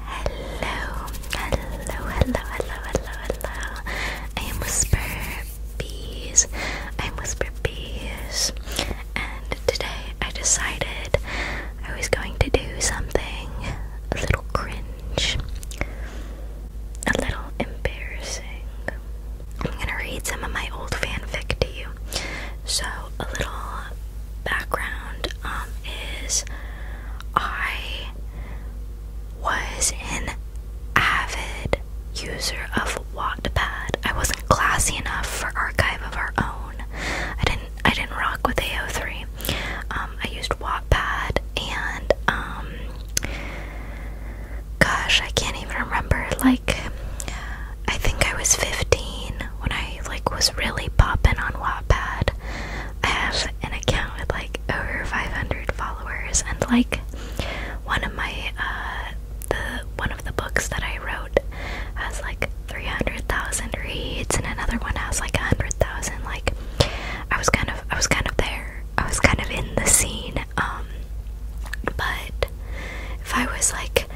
Hello, hello, hello, hello, hello, hello. I am Whisper Bees. I'm Whisper Bees. And today I decided I was going to do something a little cringe, a little embarrassing. I'm gonna read some of my old fanfic to you. So, a little background um, is I was an avid user of Wattpad. I wasn't classy enough for Archive of Our Own. I didn't. I didn't rock with AO3. Um, I used Wattpad and um, gosh, I can't even remember. Like, I think I was 15 when I like was really popping on Wattpad. I have an account with like over 500 followers, and like one of my uh, the one of the books that I wrote has like 300,000 reads, and another one has like 100,000. Like I was kind of I was kind of there. I was kind of in the scene. Um, but if I was like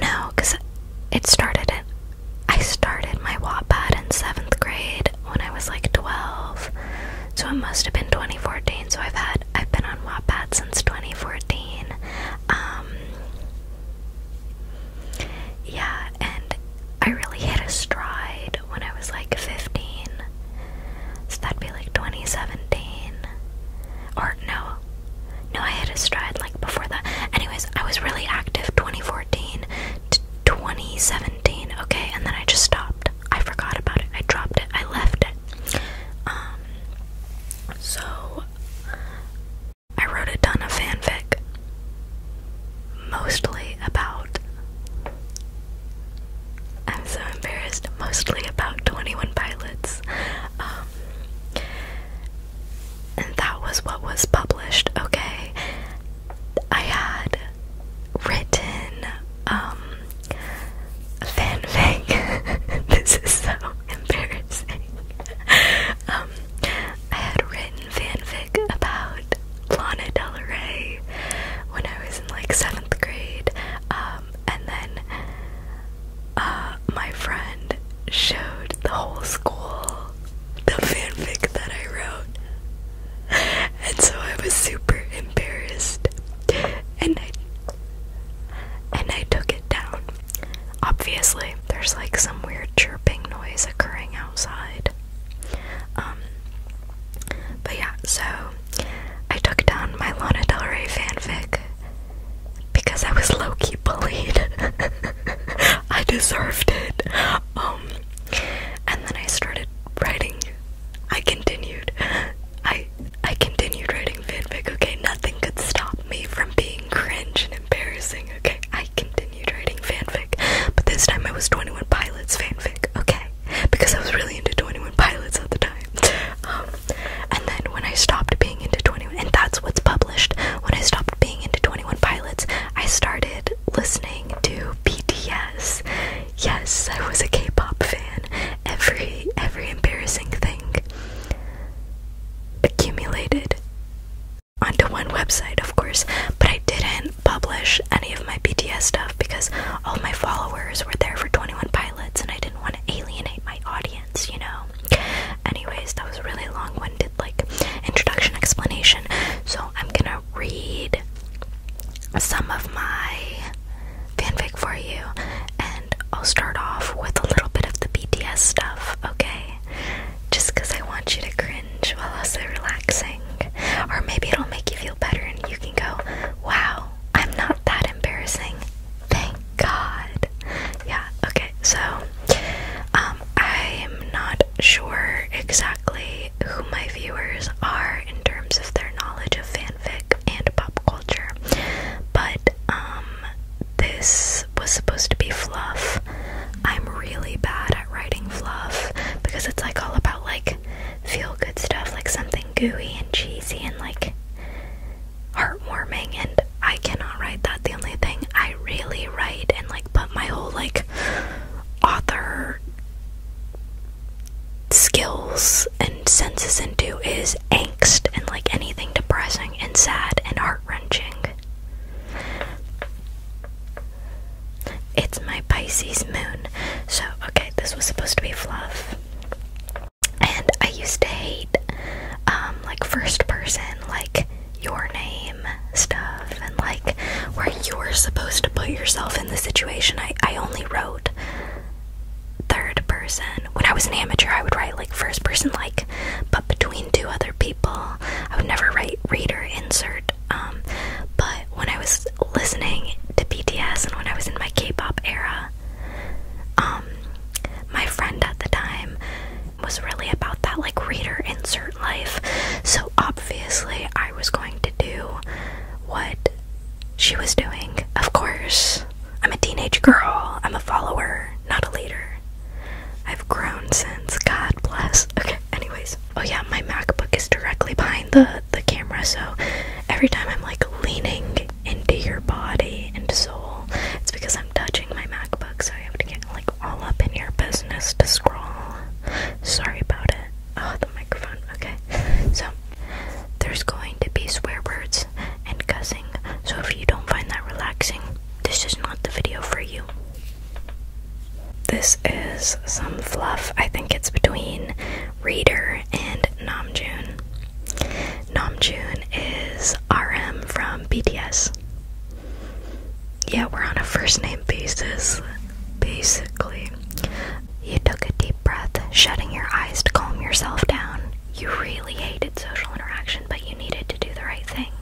no, because it started at I started my Wattpad in seventh grade when I was like 12, so it must have been 2014. So I've had I've been on Wattpad since 2014. Um, yeah, and I really hit a stride when I was like 15. So that'd be like 2017, or no, no. I had a stride like before that. Anyways, I was really active 2014 to 2017, okay? And then I just stopped. I forgot about it. I dropped it. I left it. Um so I wrote a ton of fanfic mostly about I'm so embarrassed, mostly about 21 pilots. Um and that was what was published, okay? I had written um fanfic. this is so embarrassing. um I had written fanfic about Lana Del Rey when I was in like seventh grade. Um and then uh, my friend showed the whole school the fanfic that I wrote, and so I was super embarrassed, and I and I took it down. Obviously, there's like some weird chirping noise occurring outside. Um, but yeah, so I took down my Lana Del Rey fanfic because I was low key bullied. I deserved it. Um, and then I started writing. I continued. I I continued writing fanfic. Okay, nothing could stop me from being cringe and embarrassing. Okay, I continued writing fanfic, but this time I was Twenty One Pilots fanfic. Okay, because I was really into Twenty One Pilots at the time. Um, and then when I stopped being into Twenty One, and that's what's public when I stopped being into 21 Pilots, I started listening to BTS. Yes, I was a K-pop fan. Every every embarrassing thing accumulated onto one website, of course, but I didn't publish any of my BTS stuff because all my followers were there for 21 Pilots and I didn't want to alienate my audience you know? Anyways, that was a really long winded, like, introduction explanation. So I'm gonna read some of my fanfic for you, and I'll start off with a little bit of the BTS stuff, okay? Just because I want you to cringe while also relaxing. Or maybe it'll make you feel better and you can go, wow, I'm not that embarrassing Thank God. Yeah, okay, so um I'm not sure exactly who my viewers are in terms of their knowledge of fanfic and pop culture. But um this was supposed to be fluff. I'm really bad at writing fluff because it's like all about like feel good stuff, like something gooey and cheesy and like heartwarming and I cannot write that. The only thing I really write and like put my whole like author skills and senses into is angst and like anything depressing and sad and heart wrenching. It's my Pisces moon. So, okay, this was supposed to be fluff. And I used to hate um like first person like your name stuff and like where you are supposed to put yourself in the situation. I, I only wrote third person. When I was an amateur, I would write like first person, like, but between two other people. I would never write reader insert. Um, but when I was listening to BTS and when I was in my K pop era, um, my friend at the time, was really about that like reader insert life. So obviously, I was going to do what she was doing. Of course, I'm a teenage girl, I'm a follower, not a leader. I've grown since. God bless. Okay, anyways. Oh yeah, my MacBook is directly behind the the camera, so every time I'm like leaning into your body and soul, it's because I'm touching my MacBook, so I have to get like all up in your business to scroll. Sorry about it. Oh, the microphone. Okay. So, there's going to be swear words and cussing, so if you don't find that relaxing, this is not the video for you. This is some fluff. I think it's between Reader and Namjoon. Namjoon is RM from BTS. Yeah, we're on a first name basis, basically. You took a deep breath, shutting your eyes to calm yourself down. You really hated social interaction, but you needed to do the right thing.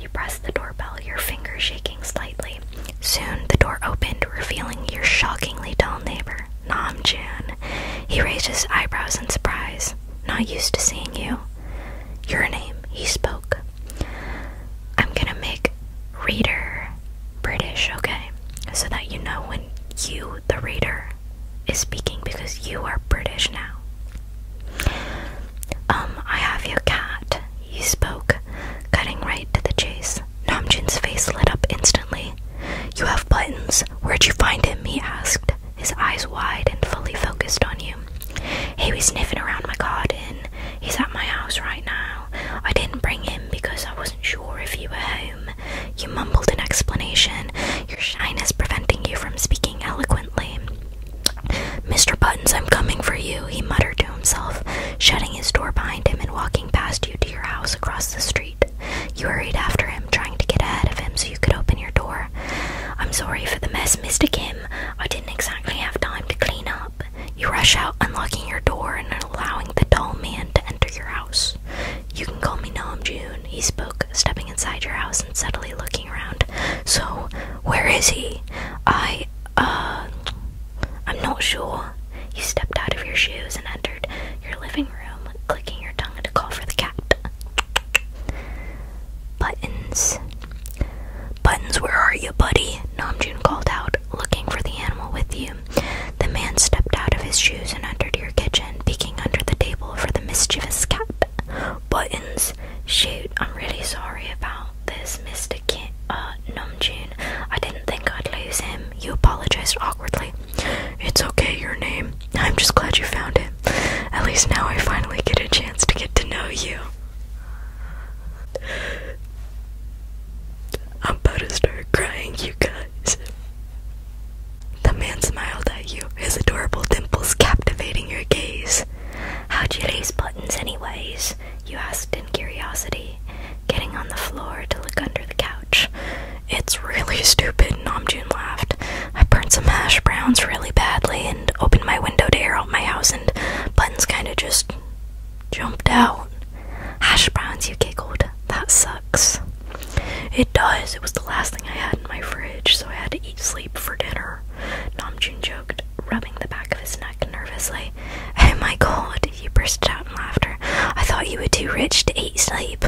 You pressed the doorbell, your fingers shaking slightly. Soon the door opened, revealing your shockingly tall neighbor, Namjoon. He raised his eyebrows in surprise. Not used to seeing you your name, he spoke. I'm gonna make reader British, okay? So that you know when you, the reader, is speaking because you are British now. Um, I have your cat, he spoke, cutting right to the chase. Namjin's face lit up instantly. You have buttons. Where'd you find him? he asked his eyes wide and fully focused on you. He was sniffing around my garden. He's at my house right now. I didn't bring him because I wasn't sure if you were home. You mumbled an explanation, your shyness preventing you from speaking eloquently. Mr. Buttons, I'm coming for you, he muttered to himself, shutting his door behind him and walking past you to your house across the street. You hurried after him, trying to get ahead of him so you could open your door. I'm sorry for the mess, Mr. Kim. I didn't exactly have time to clean up. You rush out, unlocking your door and allowing the tall man to enter your house. You can call me Nam June, he spoke, stepping inside your house and subtly looking around. So, where is he? I, uh, I'm not sure. You stepped out of your shoes and entered your living room, clicking your tongue to call for the cat. Buttons. Buttons, where are you, buddy? Namjoon called out, looking for the animal with you. The man stepped out of his shoes and entered your kitchen, peeking under the table for the mischievous cat. Buttons, shoot, I'm really sorry about this, Mr. Kim, uh, Namjoon. I didn't think I'd lose him. You apologized awkwardly. It's okay, your name. I'm just glad you found it. At least now I finally get a chance to get to know you. I'm about to start crying, you guys. The man smiled at you, his adorable dimples captivating your gaze. How'd you raise buttons, anyways? You asked in curiosity, getting on the floor to look under the couch. It's really stupid, Namjoon laughed. I burned some hash browns really badly and opened my window to air out my house, and buttons kind of just jumped out. Hash browns, you giggled. That sucks. It does. It was the last thing I had in my fridge, so I had to eat sleep for dinner. Namjoon joked, rubbing the back of his neck nervously. Oh my god, he burst out in laughter. I thought you were too rich to eat sleep.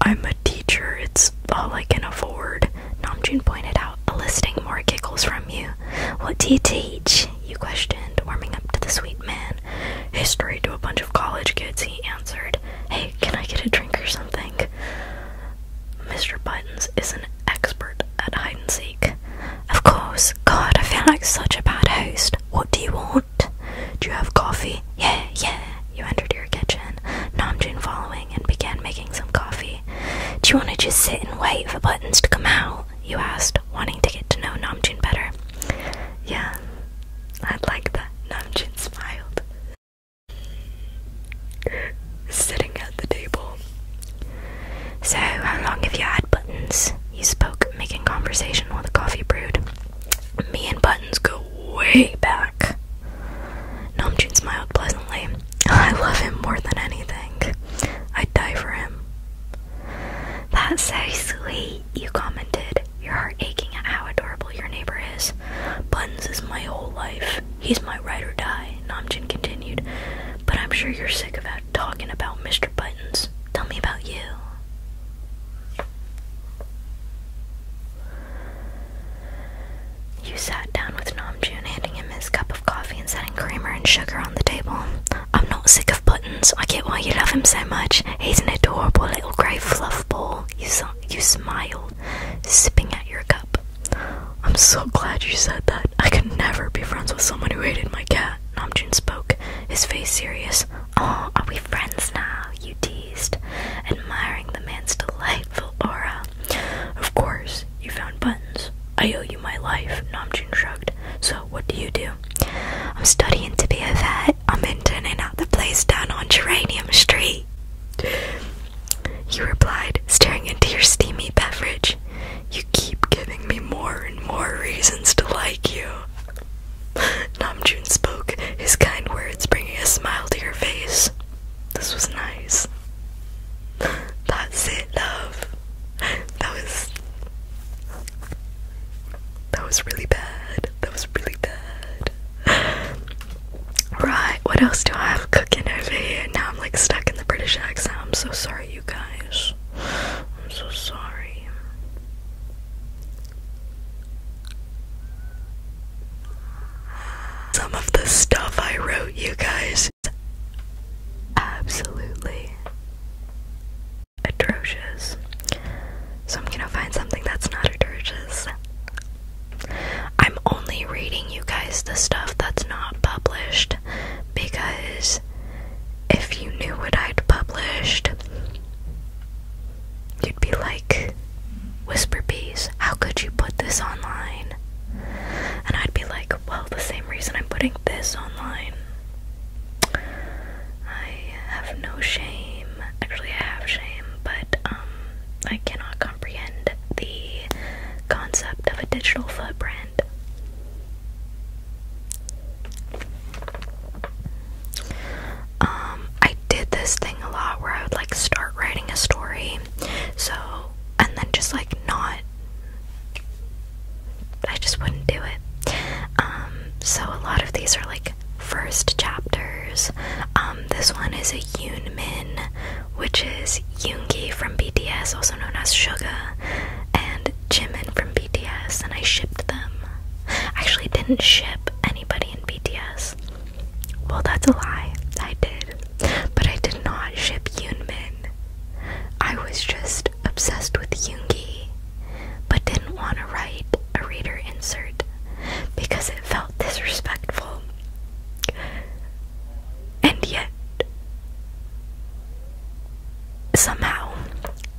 I'm a teacher, it's all I can afford. Namjoon pointed out, eliciting more giggles from you. What do you teach? You questioned, warming up to the sweet man. History to a bunch of college kids, he answered. Hey, can I get a drink or something? Mr. Buttons is an expert at hide and seek. Of course. God, I feel like such a bad host. What do you want? Do you have coffee? Yeah, yeah. You entered your kitchen, Namjoon following, and began making some coffee. Do you want to just sit and wait for buttons to come out? You asked, wanting to get to know Namjoon better. Yeah, I'd like that. Namjoon smiled. Sitting at the table. So, how long have you had buttons? You spoke, making conversation while the coffee brewed. Me and buttons go way back. Namjoon smiled pleasantly. I love him more than anything. I'd die for him. That's so sweet, you commented, your heart aching at how adorable your neighbor is. Buttons is my whole life. He's my ride or die, Namjoon continued. But I'm sure you're sick of talking about Mr. Buttons. Tell me about you. You sat down with Namjoon, handing him his cup of coffee and setting creamer and sugar on the table. I'm not sick of buttons. I get why you love him so much. He's an adorable little grey fluff ball. You, you smiled, sipping at your cup. I'm so glad you said that. I could never be friends with someone who hated my cat. Namjoon spoke, his face serious. Oh, are we friends now, you dear? admiring the man's delightful aura. Of course, you found buttons. I owe you my life, Namjoon shrugged. So, what do you do? I'm studying to be a vet. I'm interning at the place down on Geranium Street. He replied, staring into your steamy beverage. You keep giving me more and more reasons to like you. Namjoon spoke, his kind words bringing a smile to your face. This was nice. That's it, love. That was. That was really bad. That was really bad. Right, what else do I have cooking over here? Now I'm like stuck in the British accent. I'm so sorry, you guys. I'm so sorry. Some of the stuff I wrote, you guys, absolutely atrocious. So I'm gonna find something that's not atrocious. I'm only reading you guys the stuff that's not published because if you knew what I'd published, You'd be like, Whisper Bees, how could you put this online? And I'd be like, well, the same reason I'm putting this online. I have no shame. Actually, I have shame, but um, I cannot comprehend the concept of a digital footprint. Um, I did this thing a lot where I would like start writing a story, so and then just like not, I just wouldn't do it. Um, so a lot of these are like first chapters. Um, this one is a Yoon Min, which is Yoongi from BTS, also known as Suga, and Jimin from BTS, and I shipped them. actually didn't ship anybody in BTS. Well, that's a lie. I did. But I did not ship Yoonmin. I was just obsessed with Yoongi, but didn't want to write a reader insert because it felt disrespectful. And yet, somehow,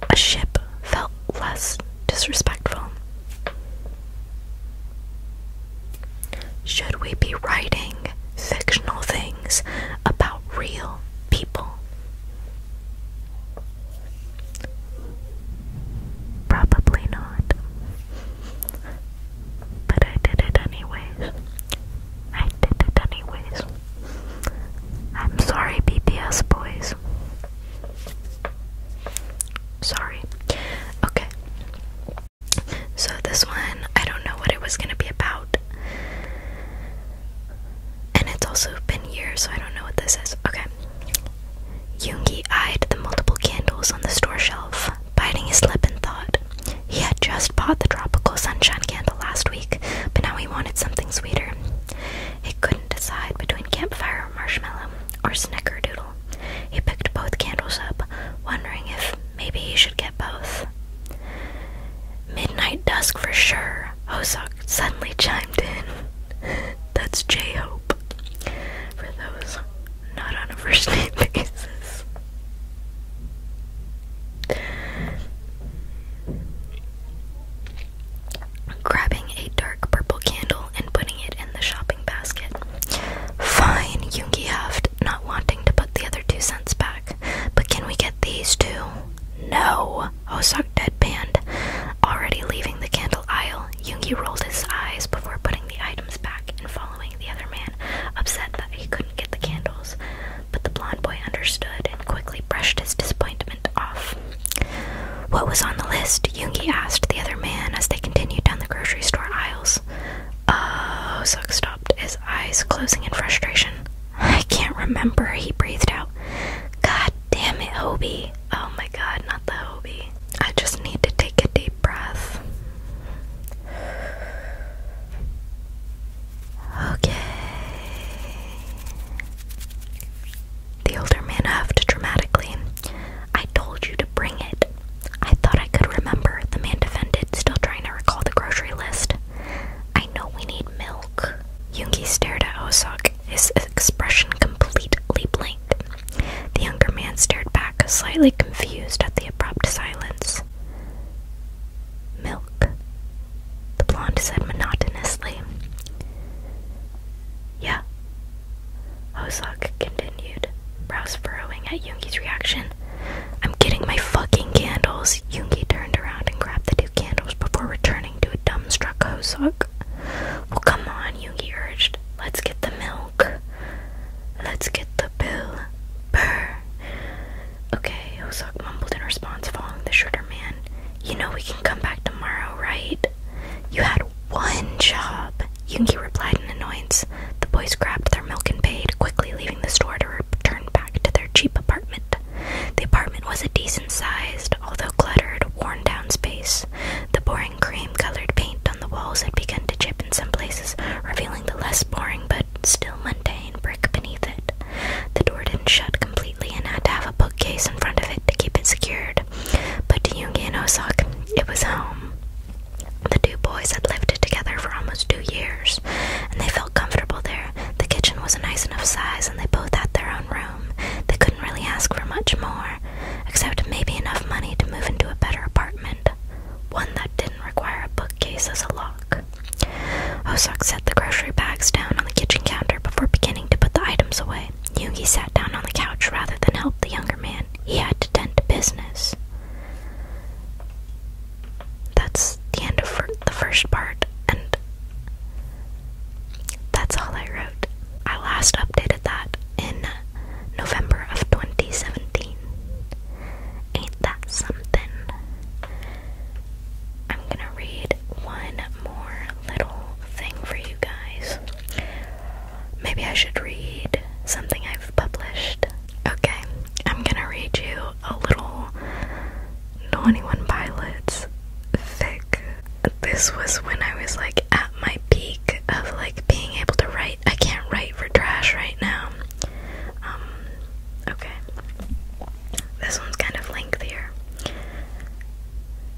a ship felt less disrespectful. Should we be writing fictional things about real people? Probably not. But I did it anyways. I did it anyways. I'm sorry, BTS boys. Sorry. Okay. So this one, I don't know what it was gonna be about. And it's also been years, so I don't know what this is. Okay. Yoongi eyed the multiple candles on the store shelf, biting his lip in thought. He had just bought the tropical sunshine candle last week, but now he wanted something sweeter. He couldn't decide between campfire or marshmallow or snickerdoodle. He picked both candles up, wondering if maybe he should get both. Midnight dusk for sure, Hosok suddenly chimed in. That's J Hope. For those not on a first name basis. Grabbing a dark purple candle, and putting it in the shopping basket. Fine, Yungi huffed, not wanting to put the other two cents back. But can we get these two? No, Osok deadpanned. Already leaving the candle aisle, Yungi rolled his eyes before putting the items back and following the other man, upset that he couldn't get the candles. But the blond boy understood and quickly brushed his disappointment off. What was on the list? Yoongi asked the other man as they continued down the grocery store aisles. Oh, Suk stopped, his eyes closing in frustration. I can't remember, he breathed out. God damn it, Hobie. Oh my god, not the Hobie. I just need to take a deep breath. Okay. The older man huffed dramatically. I told you to bring it. I thought I could remember, the man defended, still trying to recall the grocery list. I know we need milk. Yungi stared at Osok, his expression completely blank. The younger man stared back, slightly confused at the abrupt silence. Milk, the blonde said monotonously. Yeah, Hosok continued, brows furrowing at Yoongi's reaction. I'm getting my fucking candles. Yoongi turned around and grabbed the two candles before returning to a dumbstruck Hosok. Well, come on, Yoongi urged. Let's get the milk. Let's get the bill. Burr. Okay, Hosok mumbled in response, following the shorter man. You know we can come back tomorrow, right? You had one job. Yungi replied in annoyance. The boys grabbed their milk and paid, quickly leaving the store to return back to their cheap apartment. The apartment was a decent sized, although cluttered, worn down space. The boring cream colored paint on the walls had begun to chip in some places, revealing the less boring but still mundane brick beneath it. The door didn't shut completely and had to have a bookcase in front of it to keep it secured. But to Yungi and Osaka, it was home. The two boys had lived together for almost two years, and they felt comfortable there. The kitchen was a nice enough size, and they both had their own room. They couldn't really ask for much more, except maybe enough money to move into a better apartment, one that didn't require a bookcase as a lock. Osok set the grocery bags down on the kitchen counter before beginning to put the items away. Yugi sat down on the couch rather than help the younger man he had to tend to business. That's the end of the first part, and that's all I wrote. I last updated that in November of 2017. Ain't that something? I'm gonna read one more little thing for you guys. Maybe I should read something I've published. Okay, I'm gonna read you a little 21 Pilots fic. This was when I was like at my peak of like being able to write. I can't write for trash right now. Um, okay. This one's kind of lengthier.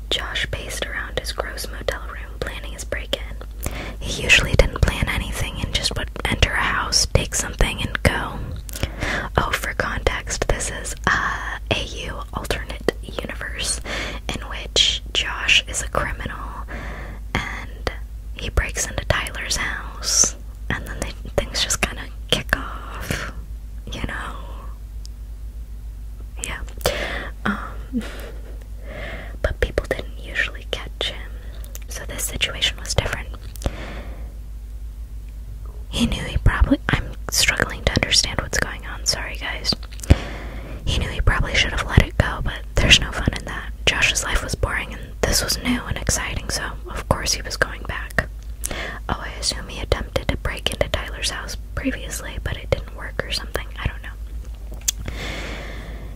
Josh paced around his gross motel room planning his break in. He usually didn't plan anything and just would enter a house, take something, and go. Oh, for context, this is uh, a AU alternate universe in which Josh is a criminal and he breaks into Tyler's house and then things just kind of kick off, you know. Yeah. Um, but people didn't usually catch him, so this situation was different. He knew he probably. I'm struggling to understand what's going on, sorry guys. He knew he probably should have let it go, but there's no fun in that. Josh's life was boring and this was new and exciting, so of course he was going back. Oh, I assume he attempted to break into Tyler's house previously, but it didn't work or something. I don't know.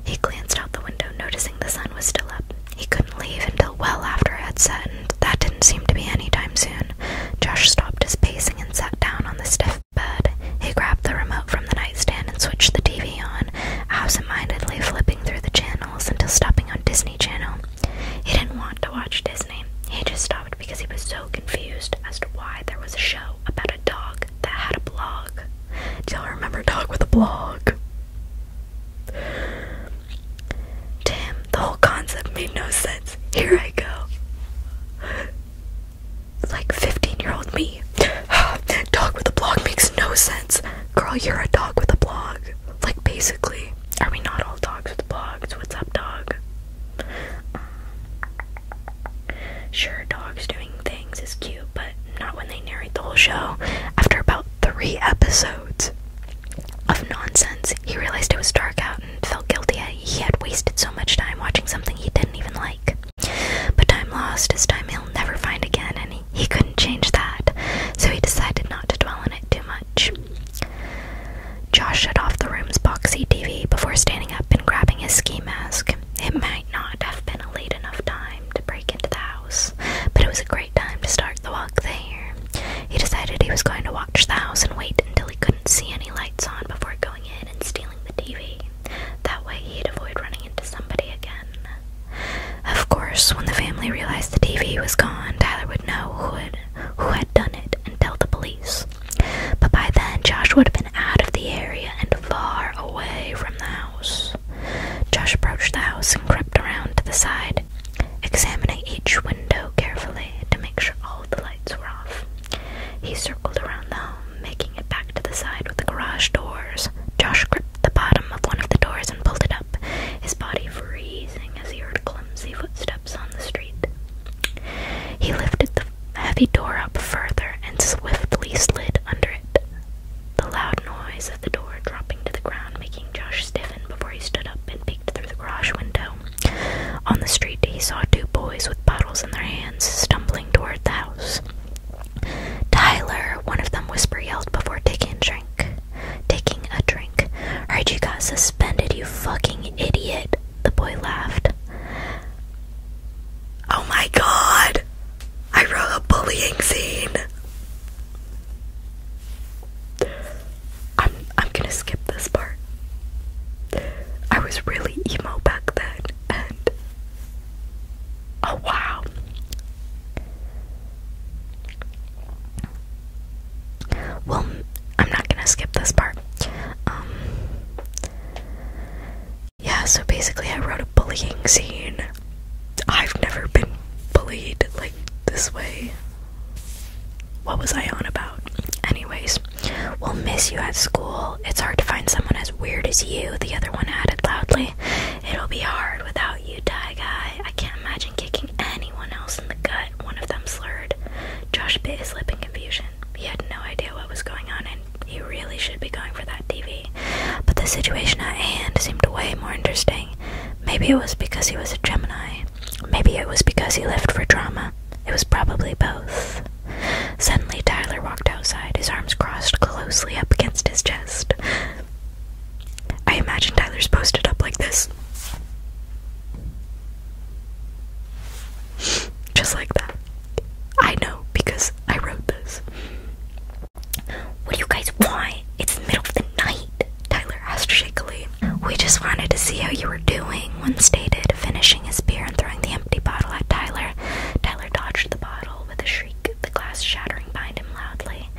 He glanced out the window, noticing the sun was still up. He couldn't leave until well after it had set, and that didn't seem to be any time soon. Josh stopped his pacing and sat down on the stiff bed. He grabbed the remote from the nightstand and switched the TV on, absentmindedly flipping through the channels until stopping on Disney Channel. He didn't want to watch Disney. He just stopped because he was so confused as to why there was a show about a dog that had a blog. Do y'all remember Dog with a Blog? To the whole concept made no sense. Here I go. Like 15 year old me. dog with a blog makes no sense. Girl, you're a dog with a blog. Like, basically. Are we not all dogs with blogs? What's up, dog? Sure, dogs doing things is cute, but not when they narrate the whole show. After about three episodes of nonsense, he realized it was dark out and felt guilty he had wasted so much time watching something he didn't even like. But time lost is time he'll never find again, and he, couldn't change that, so he decided not to dwell on it too much. Josh shut off the room's boxy TV before standing up and grabbing his ski mask. It might not have been a late enough time to break into the house, but it was a great time to start the walk there. He decided he was going to watch the house and wait until he couldn't see any lights on before going in and stealing the TV. That way he'd avoid running into somebody again. Of course, when the family realized the TV was gone, Tyler would know who had, who had done it and tell the police. But by then, Josh would have been out of the area and far away from the house. Josh approached the house and crept around to the side, examining each window carefully to make sure all the lights were off. He circled around the home, making it back to the side with the garage doors. Josh gripped the bottom of one of the doors and pulled it up, his body freezing as he heard clumsy footsteps on the street. He lifted the heavy door up further and swiftly slid under it. The loud noise of the door dropping to the ground making Josh stiffen before he stood up and peeked through the garage window. On the street, he saw two boys with bottles in their hands stumbling toward the house. Tyler, one of them whisper yelled before taking a drink. Taking a drink. Heard you got suspended, you fucking idiot. The boy laughed. Oh my god! I wrote a bullying scene. I'm I'm gonna skip this part. I was really emo back then and oh wow. Well, I'm not gonna skip this part. Um yeah, so basically, I wrote a bullying scene. I've never been bullied like this way. What was I on about? Anyways, we'll miss you at school. It's hard to find someone as weird as you, the other one added loudly. It'll be hard without you, Die Guy. I can't imagine kicking anyone else in the gut, one of them slurred. Josh bit his lip and confusion. He had no idea what was going on, and he really should be going for that TV. But the situation at hand seemed way more interesting. Maybe it was because he was a Gemini. Maybe it was because he lived for drama. It was probably both. Suddenly, Tyler walked outside, his arms crossed closely up against his chest. I imagine Tyler's posted up like this. Just like that. I know because I wrote this. What do you guys want? It's middle of the night, Tyler asked shakily. We just wanted to see how you were doing, one stated, finishing his beer and throwing the empty bottle at Tyler. Tyler dodged the bottle with a shriek, the glass shattering behind him loudly.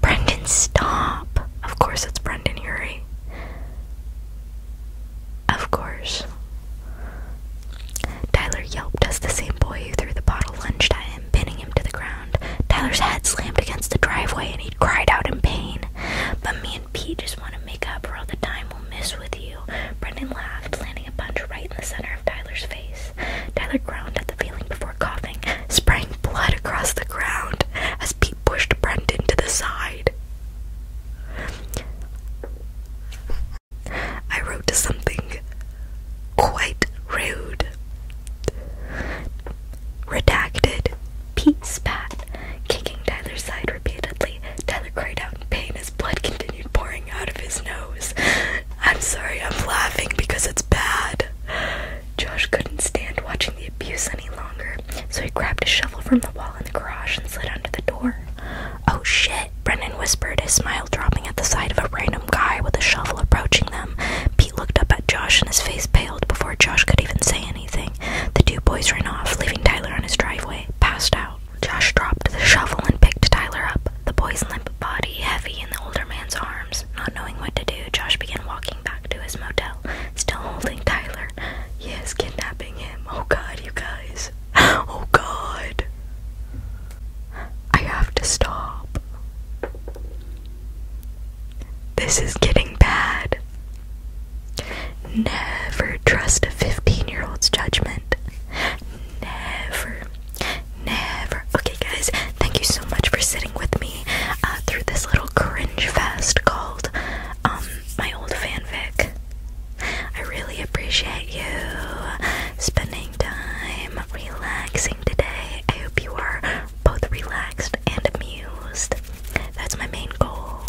Brendan, stop! Of course, it's Brendan Urie. Of course. Tyler yelped as the same boy who threw the bottle lunged at him, pinning him to the ground. Tyler's head slammed against the driveway and he cried out in pain. But me and Pete just want to make up for all the time we'll miss with you. Brendan laughed, landing a punch right in the center of Tyler's face. Tyler groaned at the feeling before coughing, spraying blood across the ground as Pete pushed Brendan to the side. I wrote to something quite rude. Redacted. Pete spat, kicking Tyler's side repeatedly. Tyler cried out in pain as blood continued pouring out of his nose. I'm sorry, I'm laughing because it's bad. Josh couldn't stand watching the abuse any longer, so he grabbed a shovel from the wall in the garage and slid under the door. Oh shit, Brennan whispered, his smile dropping at the sight of a random guy with a shovel approaching them. Pete looked up at Josh and his face paled before Josh could even say anything. The two boys ran off, leaving Tyler on his driveway, passed out. Josh dropped the shovel and picked Tyler up, the boy's limp body heavy in the older man's arms. Not knowing what to do, Josh began walking back to his motel, still holding Tyler. He is kidnapping him. Oh god, you guys. oh god. I have to stop. This is getting bad. Never trust a 15 year old's judgment. Never. Never. Okay, guys, thank you so much for sitting with me uh, through this little cringe fest called um, my old fanfic. I really appreciate you spending time relaxing today. I hope you are both relaxed and amused. That's my main goal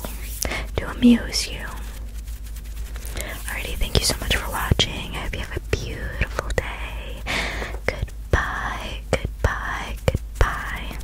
to amuse you. Alrighty, thank you so much for watching. I hope you have a beautiful day. Goodbye, goodbye, goodbye.